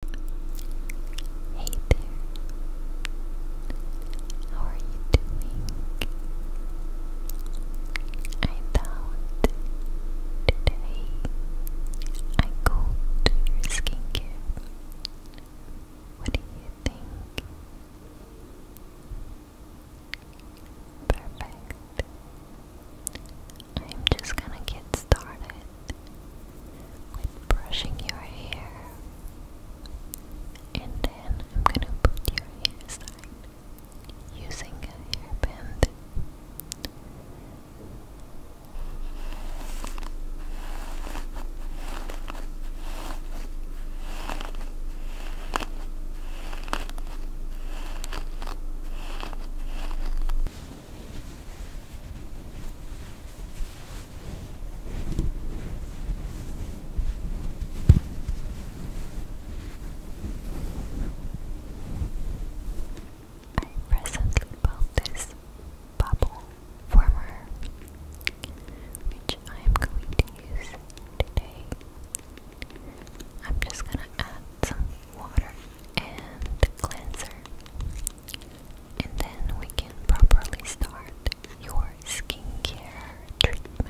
Hey there. How are you doing? I thought today I go to your skincare. What do you think? Perfect. I'm just gonna get started with brushing your hair, and then I'm gonna put your hair aside using a hairband. I recently bought this bubble former, which I am going to use today. I'm just gonna add some water and cleanser and then we can properly start your skincare treatment.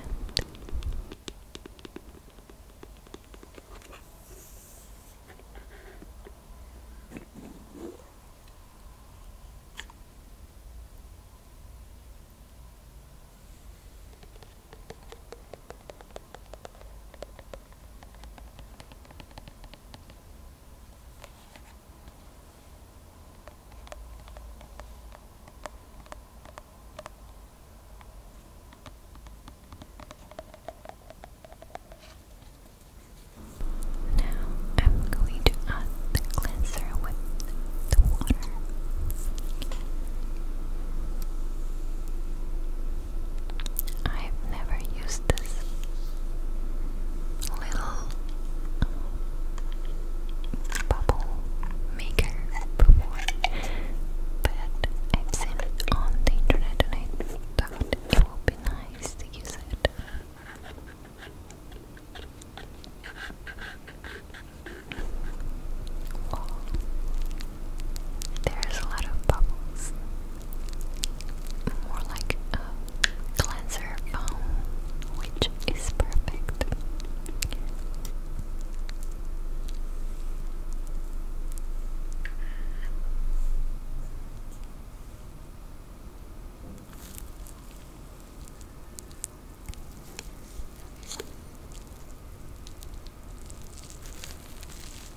Now I'm going to add the cleanser with the water. I've never used this little bubble maker before, but I've seen it on the internet and I thought it would be nice to use it. There's a lot of bubbles more like a cleanser foam, which is perfect.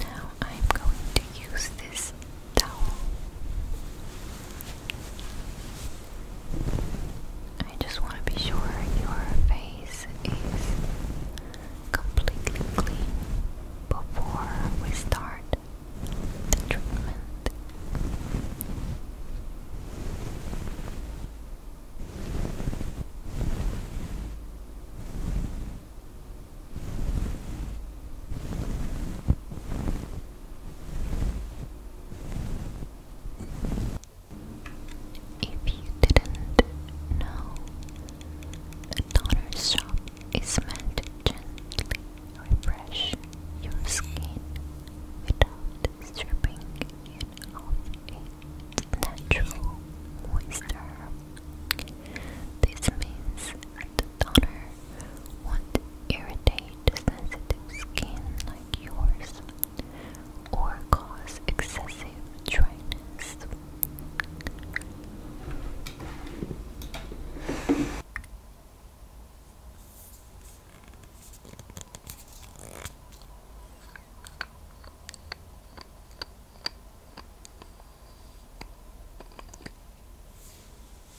Now I'm going to use this towel I just want to be sure your face is completely clean before we start the treatment. If you didn't know, a toner shop is meant to gently refresh your skin without stripping it of its natural moisture. This means the toner won't irritate sensitive skin like yours or cause excessive dryness.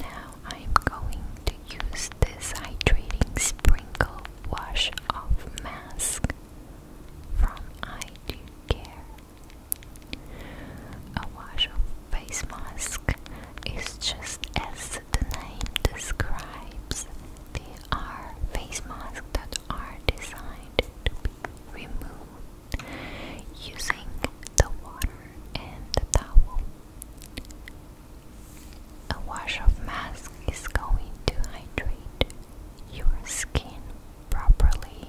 Now I'm going to use this hydrating sprinkle wash off mask from I Do Care. A wash off face mask is just as the name describes, the are face masks that are designed to be removed using the water and the towel. A wash of mask is going to hydrate your skin properly.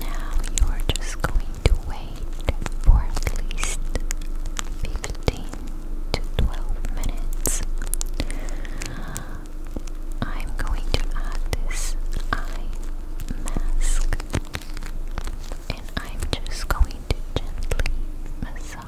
Now you are just going to wait for at least 15 to 12 minutes. I'm going to add this eye mask and I'm just going to gently massage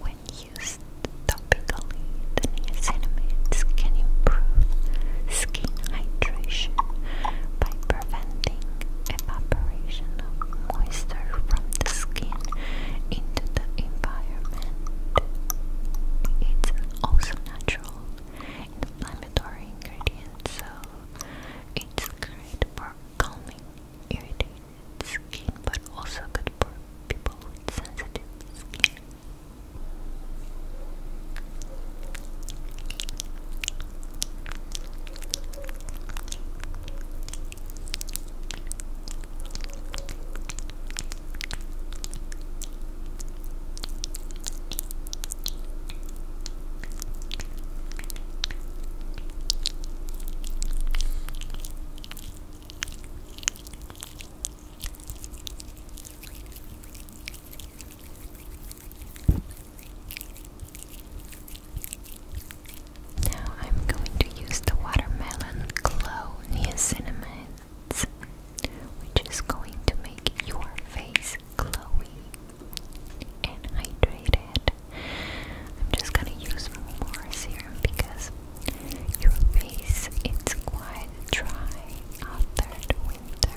When used topically, the niacinamides can improve skin hydration by preventing evaporation of moisture from the skin into the environment. It's also natural inflammatory ingredient, so it's great for calming irritated skin, but also good for people with sensitive skin. Now I'm going to use the watermelon glow niacinamide, which is going to make your face glowy and hydrated good. I'm just gonna use more serum because your face it's quite dry after winter.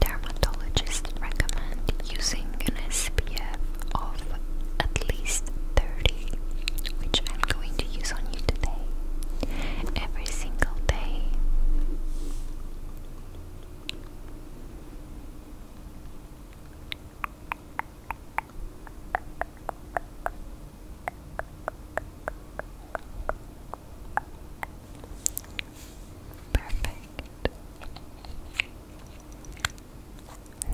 Dermatologists recommend using an SPF of at least 30, which I'm going to use on you today, every single day. Perfect.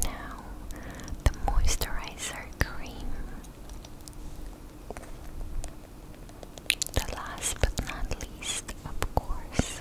Now, the moisturizer cream the last but not least, of course.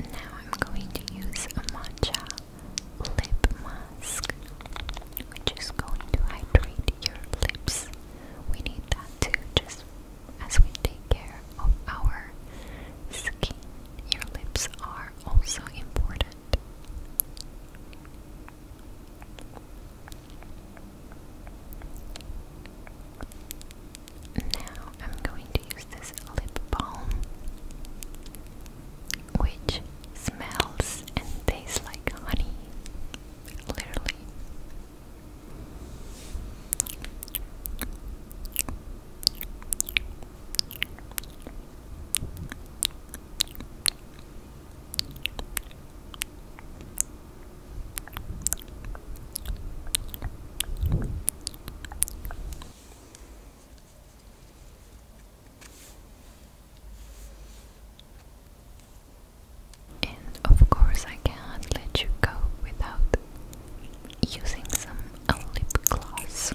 Now I'm going to use a matcha lip mask which is going to hydrate your lips. We need that too, just as we take care of our skin. Your lips are also important. Now I'm going to use this lip balm, which smells and tastes like honey, literally. And of course, I can't let you go without using some lip gloss.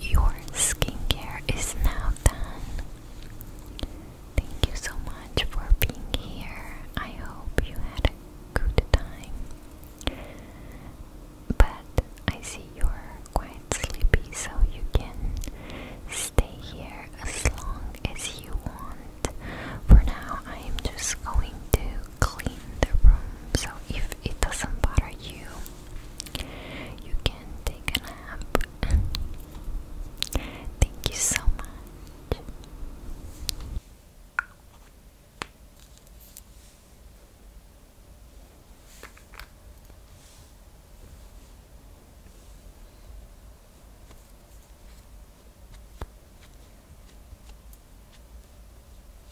your skincare is now done. Thank you so much for being here. I hope you had a good time. But I see you're quite sleepy, so you can stay here as long as you want. For now, I am just going to clean the room, so if it doesn't bother you, you can take a nap. Thank you so much.